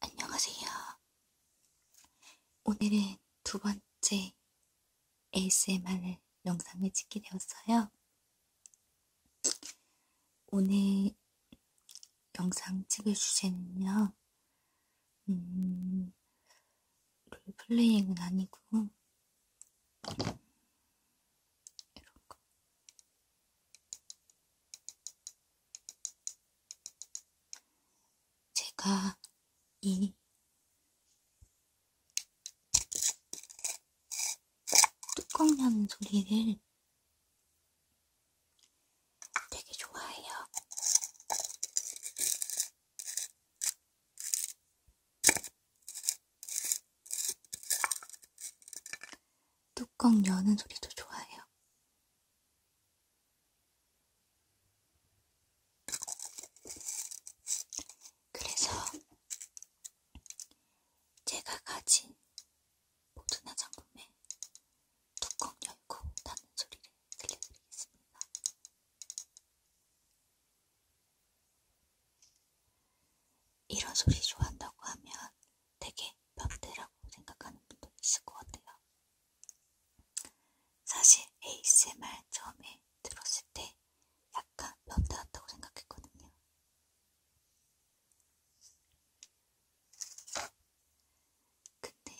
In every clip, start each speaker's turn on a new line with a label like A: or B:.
A: 안녕하세요. 오늘은 두 번째 ASMR 영상을 찍게 되었어요. 오늘 영상 찍을 주제는요, 음, 롤플레잉은 아니고, 이런 거. 제가 이 뚜껑 여는 소리를 되게 좋아해요. 뚜껑 여는 소리도 좋아해요. 그래서 제가 가진 모든 화장품에 뚜껑 열고 닫는 소리를 들려드리겠습니다. 이런 소리 좋아한다고 하면 되게 변태라고 생각하는 분도 있을 것 같아요. 사실 ASMR 처음에 들었을 때 약간 변태 같다고 생각했거든요. 근데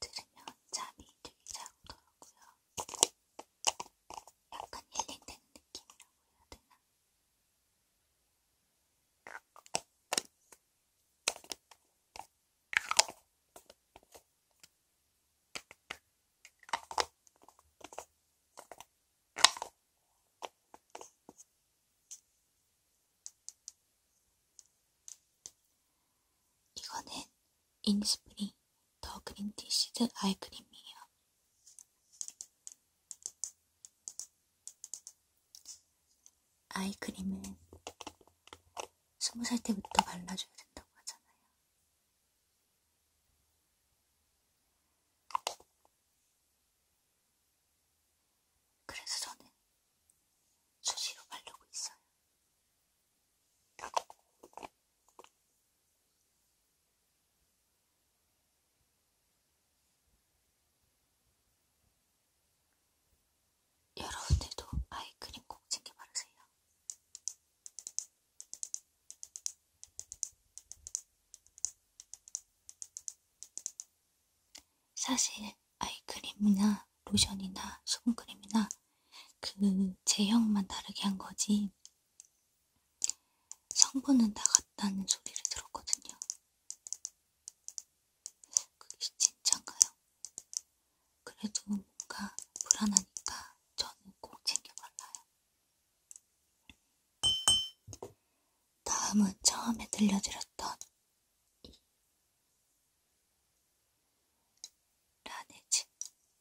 A: 들으면 잠이 되게 잘 오더라고요. 약간 힐링되는 느낌이라고 해야 되나? 이거는 인스프리 더 그린티 시드 아이크림이에요. 아이크림은 20살 때부터 발라줘야 된다고 하잖아요. 그래서 저는 수시로 바르고 있어요. 여러분들도 아이크림 꼭 챙겨 바르세요. 사실 아이크림이나 로션이나 수분크림이나 그 제형만 다르게 한 거지 성분은 다 같다는 소리를 들었거든요. 그게 진짠가요? 그래도 뭔가 불안하니까 저는 꼭 챙겨 발라요. 다음은 처음에 들려드렸던 라네즈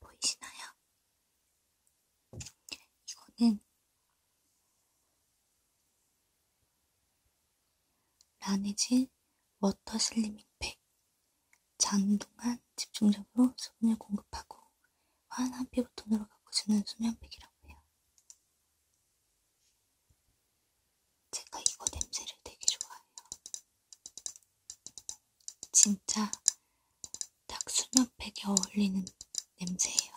A: 보이시나요? 이거는 라네즈 워터 슬리밍팩 장동안 집중적으로 수분을 공급하고 환한 피부톤으로 가꿔주는 수면팩이라고 해요. 제가 이거 냄새를 되게 좋아해요. 진짜 딱 수면팩에 어울리는 냄새예요.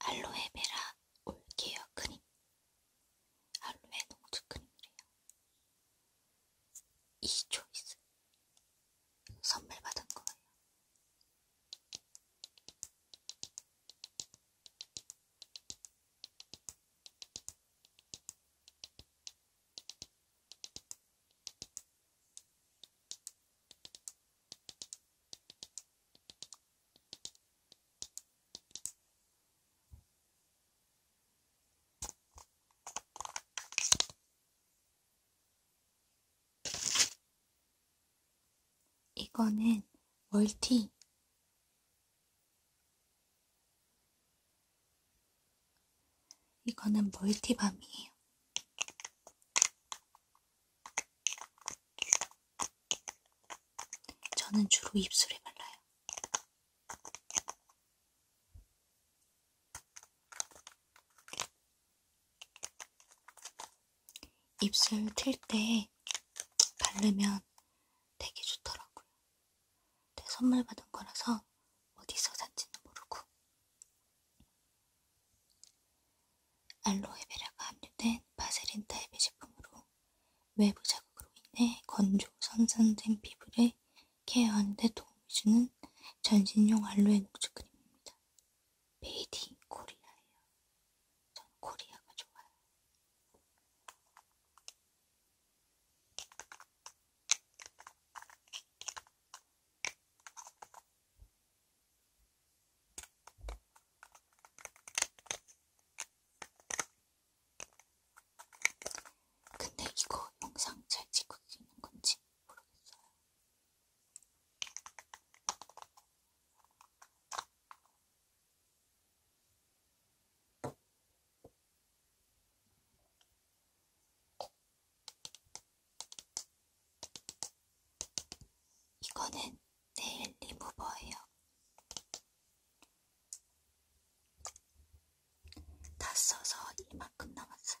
A: 알로에베라 올케어 크림 알로에 농축 크림이래요. 이 초이스 선물 받은 거예요. 이거는 멀티. 이거는 멀티밤이에요. 저는 주로 입술에 발라요. 입술 틀 때 바르면 되게 좋더라고요. 내 네, 선물 받은 거라서 어디서 산지는 모르고. 알로에베라가 함유된 바세린 타입의 제품으로 외부 자극으로 인해 건조, 손상된 피부를 케어하는 데 도움을 주는 전신용 알로에 녹즙 크림입니다. 메이디 코리아예요. 전 코리아가 좋아요. 근데 이거 영상 잘 찍고 있는 건지 모르겠어요. 이거는 네일 리무버예요. 다 써서 이만큼 남았어요.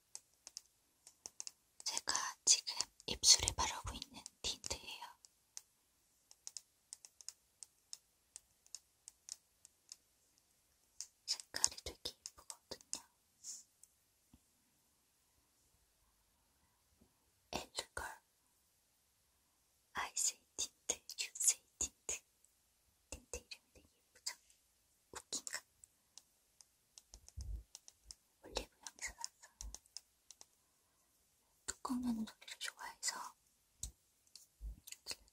A: 제가 지금 입술에 바르고 있는 틴트예요. 색깔이 되게 예쁘거든요. 엔젤걸 아이세이 틴트, 유세이 틴트 텐트 이름이 되게 예쁘죠? 웃긴가? 올리브영에서 샀어요. 뚜껑 여는 소리를 좋아해서 들려드릴게요.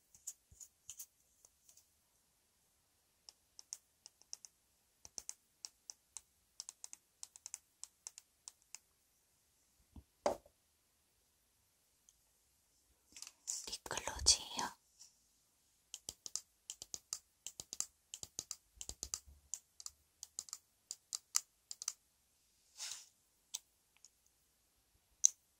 A: 립글로즈예요.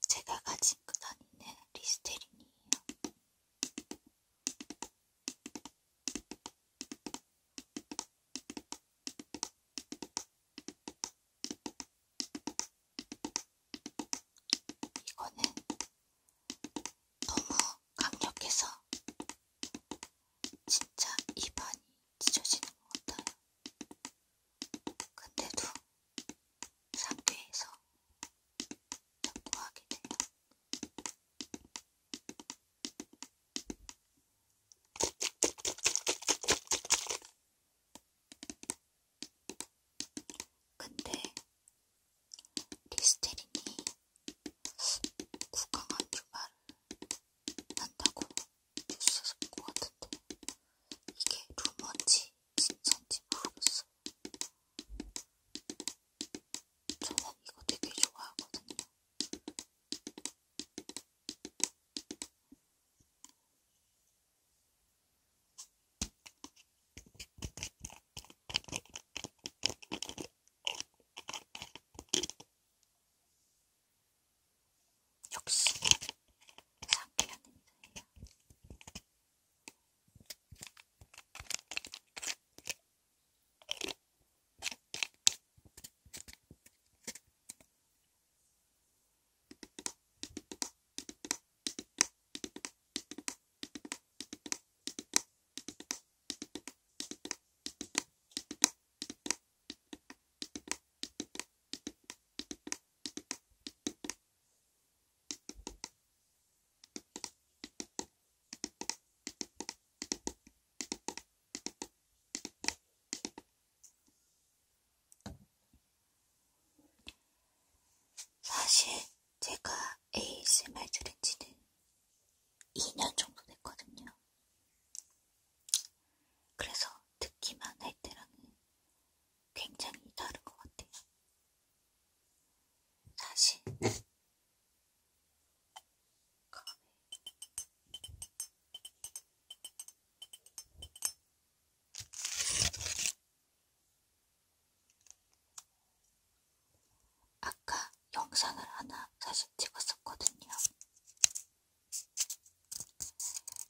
A: 제가 가진 그 단위는 리스테린이에요. 이거는 너무 강력해서 진짜 입안이 찢어지는 것 같아요. 근데도 상쾌해서 자꾸 하게 돼요. 근데 리스테린이 구강암 유발을 한다고 해주셔서 본것 같은데 이게 루머인지 진짜인지 모르겠어요. 저는 이거 되게 좋아하거든요. 역시 상쾌한 냄새예요. 사실 제가 ASMR 들은 지는 2년 정도 됐거든요. 그래서 듣기만 할 때랑은 굉장히 다른 것 같아요. 사실 아까 영상을 하나 사실 찍었었거든요.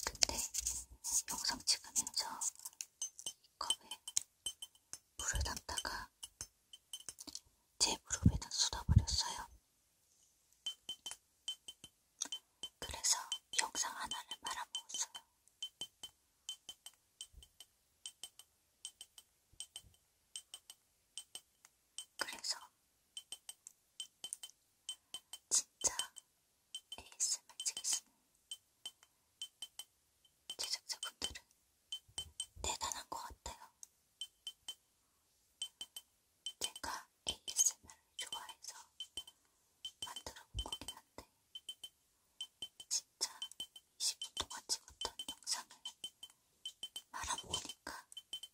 A: 근데 영상 찍으면서 이 컵에 물을 담다가 제 무릎에다 쏟아버렸어요. 그래서 영상 하나를 말아먹었어요. 그래서 진짜 ASMR 찍으시는 제작자분들은 대단한 것 같아요. 제가 ASMR을 좋아해서 만들어 본 거긴 한데, 진짜 20분 동안 찍었던 영상을 말아보니까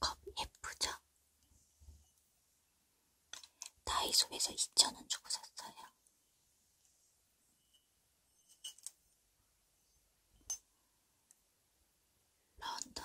A: 컵 예쁘죠? 다이소에서 2,000원 주고 샀어요. 런던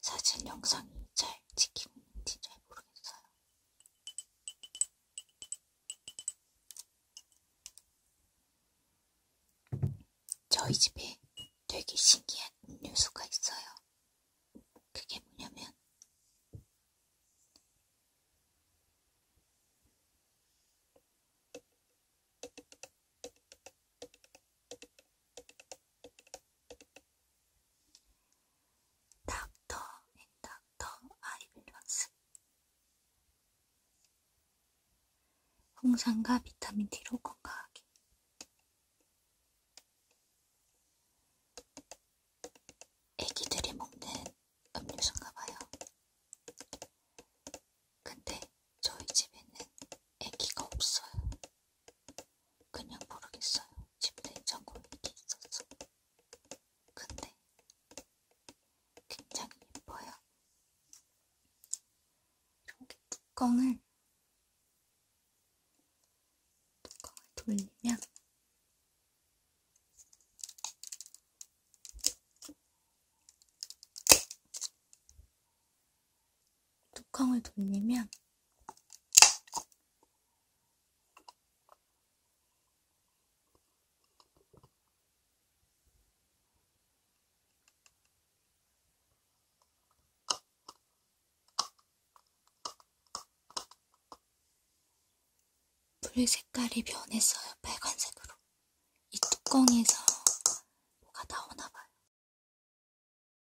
A: 사진 영상이 잘 찍히고 있는지 잘 모르겠어요. 저희 집에 되게 신기한 음료수가 있어요. 그게 뭐냐면 닥터 앤 네, 닥터 아이빌런스 홍삼과 비타민 D로 건강하게 애기들이 먹는 음료수인가 봐요. 근데 저희 집에는 애기가 없어요. 그냥 모르겠어요. 집 냉장고에 이게 있었어. 근데 굉장히 예뻐요. 이렇게 뚜껑을 뚜껑을 돌리면 뚜껑을 돌리면 물 색깔이 변했어요. 빨간색으로. 이 뚜껑에서 뭐가 나오나 봐요.